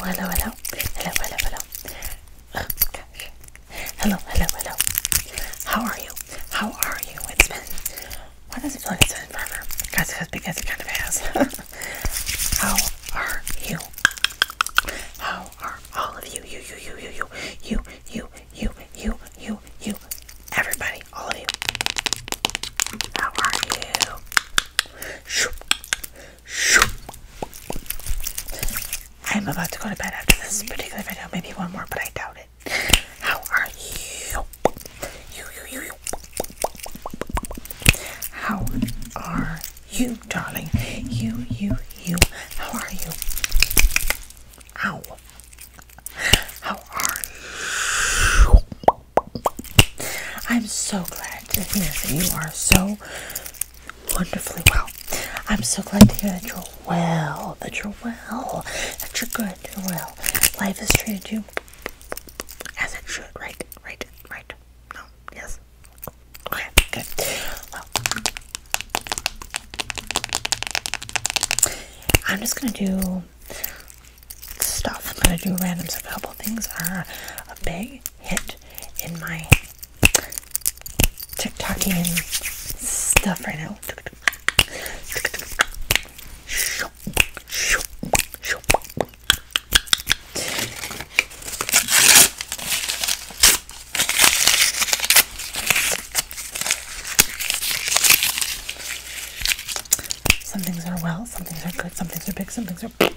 Hello, hello, hello, hello, hello. Oh, gosh. Hello, hello, hello. How are you? How are you? It's been. Why does it feel like it's been forever? Guys, because it kind of has. How are you? How are all of you? You, you, you, you, you, you, you, you, you, you, you, everybody, all of you. How are you? Shoop. I'm about to go to bed after this particular video. Maybe one more, but I doubt it. How are you? You, you, you, you. How are you, darling? You, you, you. How are you? Ow. How are you? I'm so glad to hear that you are so wonderfully well. I'm so glad to hear that you're well, that you're well, that you're good, you're well. Life has treated you as it should, right? Right? Right? No? Yes? Okay, good. Well, I'm just gonna do stuff. I'm gonna do random stuff. A couple things are a big hit in my TikToking and stuff right now. Some things are well, some things are good, some things are big, some things but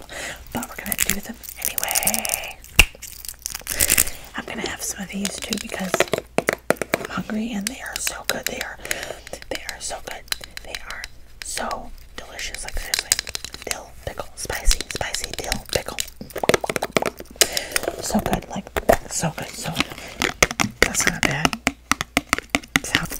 we're gonna do them anyway. I'm gonna have some of these too because I'm hungry and they are so good. They are, they are so good. They are so delicious. Like seriously, dill pickle, spicy, spicy dill pickle. So good, like so good, so That's not bad. Sounds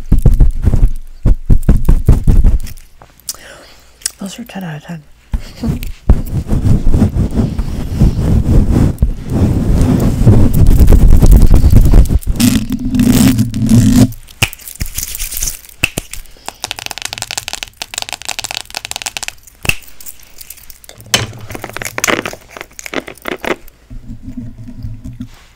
Those are 10 out of 10.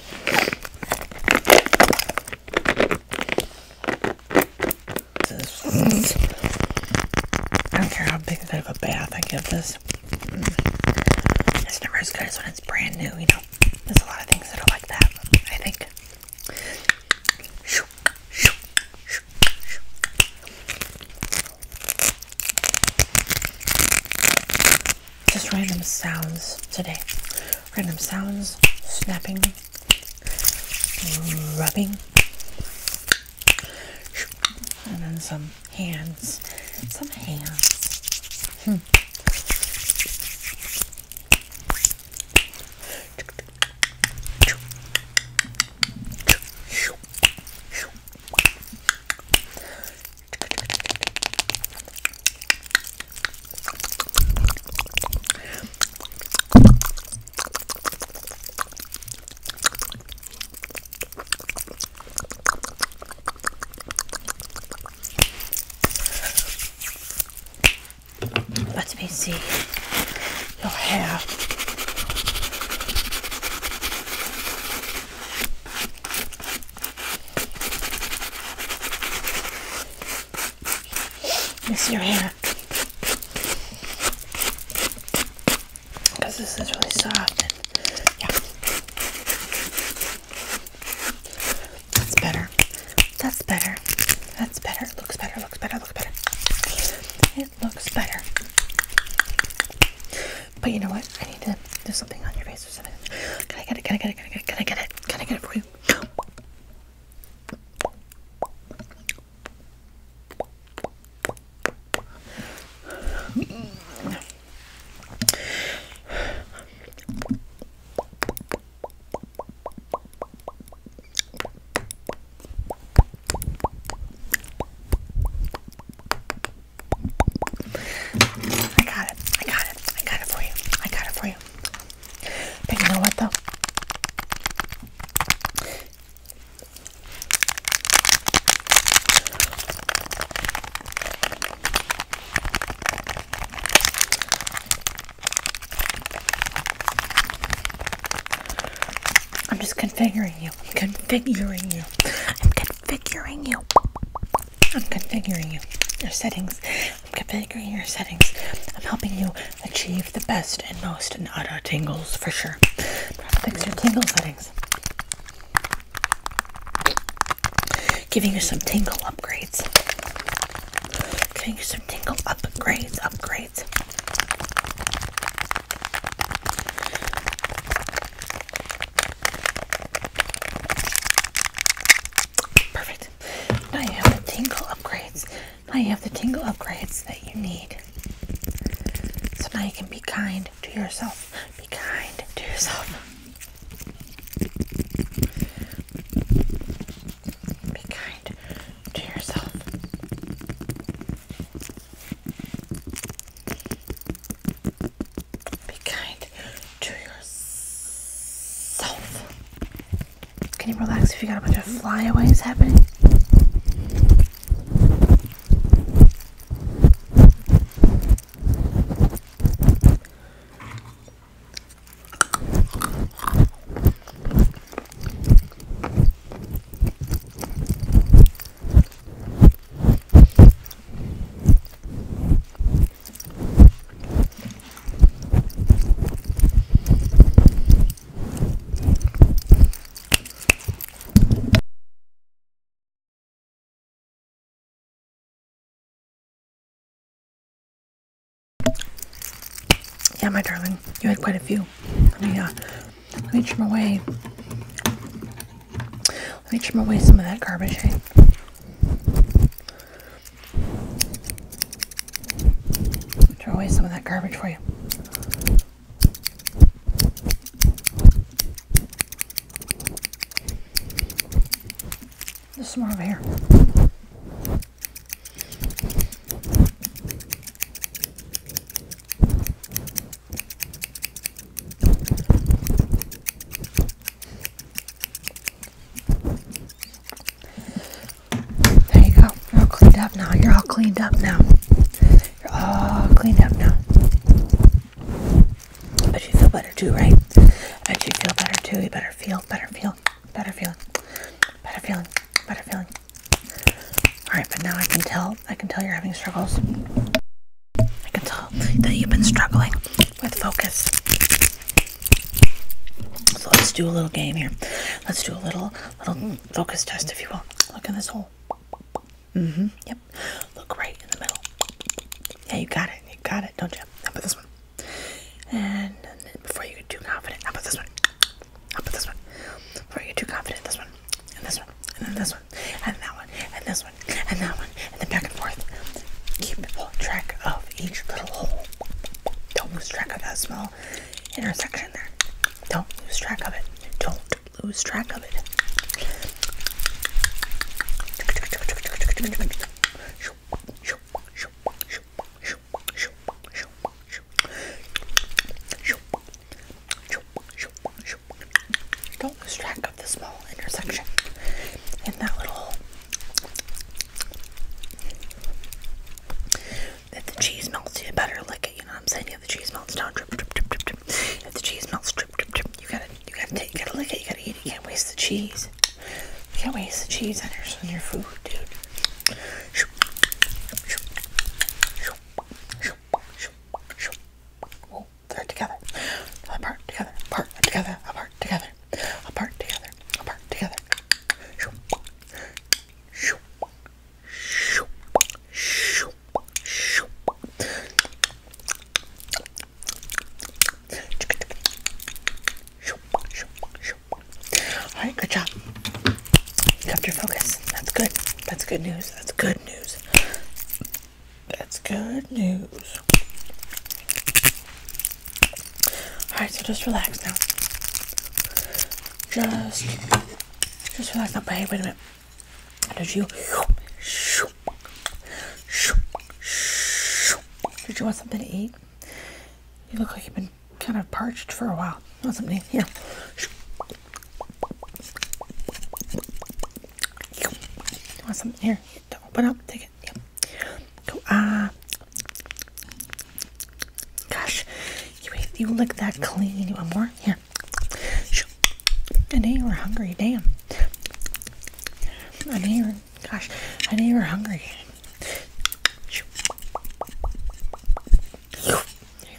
I don't care how big of a bath I give this. It's never as good as when it's brand new, you know. There's a lot of things that are like that, I think just random sounds today. Random sounds, snapping, rubbing, and then some hands. Some hands. Let me see your hair. Miss your hair. Because this is really soft. yeah. That's better. That's better. That's better. It looks better. Looks better. Looks better. It looks better. But you know what? I need to do something on your face or something. Can I get it? Can I get it? Can I get it? Can I get it? Can I get it for you? I got it. I got I got it for you. I got it for you. But you know what though? I'm just configuring you. I'm configuring you. I'm configuring you. I'm configuring you, your settings. I'm configuring your settings. I'm helping you achieve the best and most nada tingles for sure. Fix your tingle settings. Giving you some tingle upgrades. Giving you some tingle upgrades, upgrades. Perfect. Now you have the tingle upgrades. Now you have the tingle upgrades that you need. So now you can be kind to yourself. Be kind to yourself. Be kind to yourself. Be kind to yourself. Can you relax if you got a bunch of flyaways happening? Yeah, my darling, you had quite a few. Let me, uh, let me trim away. Let me trim away some of that garbage, hey? Eh? Throw away some of that garbage for you. There's some more over here. There you go. all cleaned up now. You're all cleaned up now. You're all cleaned up now. But you feel better too, right? But you feel better too. You better feel, better feel, better feeling, better feeling, better feeling. All right, but now I can tell. I can tell you're having struggles. I can tell that you've been struggling with focus. So let's do a little game here. Let's do a little little focus test, if you will. Look in this hole. Mm-hmm. Yep. Look right in the middle. Yeah, you got it. You got it, don't you? How put this one? And, before you get too confident, I'll put this one? I'll put this one? Before you get too confident, this one, and this one, and then this one, and that one, and this and that one and then back and forth. Keep track of each little hole. Don't lose track of that small intersection there. Don't lose track of it. Don't lose track of it. Don't lose track back of the small intersection in that little if the cheese melts you better lick it you know what I'm saying if the cheese melts down drip drip drip drip drip if the cheese melts drip drip drip you gotta you gotta take you gotta lick it you gotta eat it you can't waste the cheese you can't waste the cheese on your, on your food dude Shoop. Shoop. Shoop. Shoop. Shoop. Shoop. Oh, they're together. Apart together. Apart together. Apart together. Apart together. Apart together. Shoo. Alright, good job. kept your focus. That's good. That's good news. That's good news. That's good news. Alright, so just relax now. Just, just relax now. But hey, wait a minute. Did you, did you want something to eat? You look like you've been kind of parched for a while. Want something here? You want something here Don't open up? Take it. Yep. Go. Ah. gosh, you ate, you lick that clean. You want more? Yeah. I know you were hungry. Damn. I know you were. Gosh, I know you were hungry. You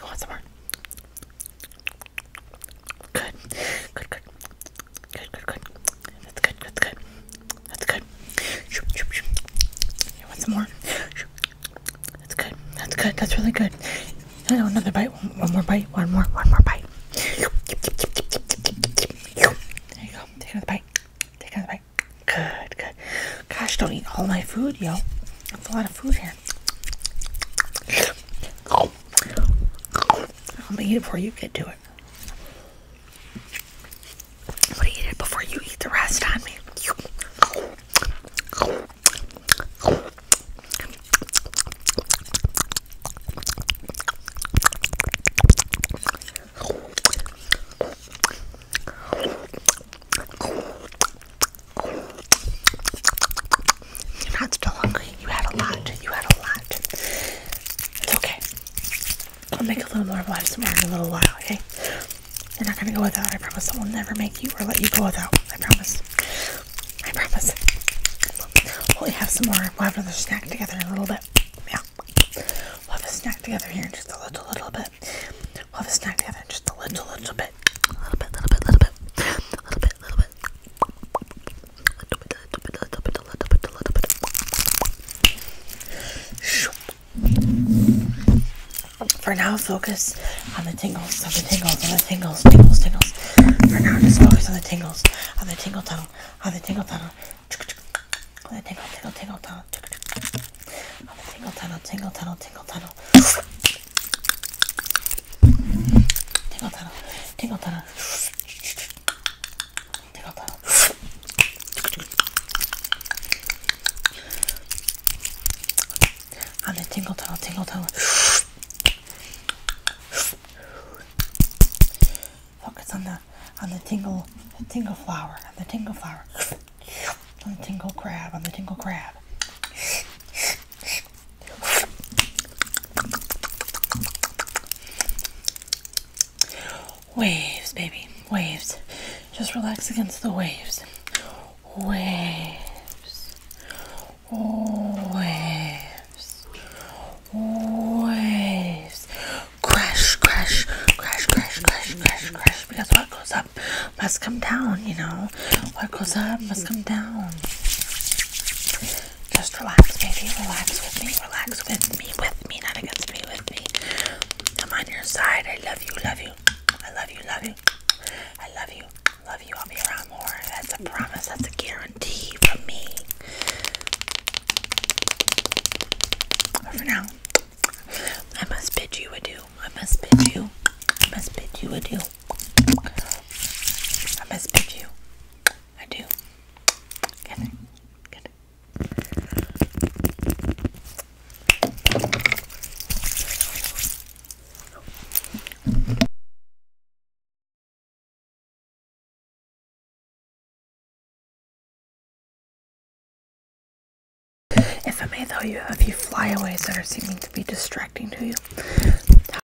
want some more? Good. Good. Good. Good, good, good. That's good, that's good. That's good. You want some more? That's good. That's good. That's really good. I another bite. One, more bite. One more. One more bite. There you go. Take another bite. Take another bite. Good, good. Gosh, don't eat all my food, yo. That's a lot of food here. I'm gonna eat it before you get to it. I'm gonna eat it before you eat the rest on me. You're not still hungry. You had a lot. You had a lot. It's okay. I'll make a little more of ASMR in a little while, okay? You're not gonna go without. I promise. I will never make you or let you go without. I promise. I promise. We'll have some more. We'll have another snack together in a little bit. Yeah. We'll have a snack together here in just a little, little bit. We'll have a snack together in just a little, little bit. A little bit, little bit, little bit. A little bit, little bit. For now, focus on the tingles, on the tingles, on the tingles, tingles, tingles. For now, just focus on the tingles, on the tingle tunnel, on the tingle tunnel, on the tingle, tingle, tingle tunnel, on the tingle tunnel, tingle tunnel, tingle tunnel, tingle tunnel, tingle tunnel. On the tingle 탱거 tingle 탱거 focus on the on the tingle tingle flower on the tingle flower on the tingle crab on the tingle crab Waves, baby. Waves. Just relax against the waves. Waves. Waves. Waves. Crash, crash, crash, crash, crash, crash, crash. Because what goes up must come down, you know? What goes up must come down. Just relax, baby. Relax with me. Relax with me. With me. Not against me. With me. I'm on your side. I love you. Love you. I love you. Love you. I love you. Love you. I'll be around more. That's a promise. That's a guarantee from me. But for now, I must bid you adieu. I must bid you. I must bid you adieu. I must bid you. I do. Get it. If I may, though, you have a few flyaways that are seeming to be distracting to you.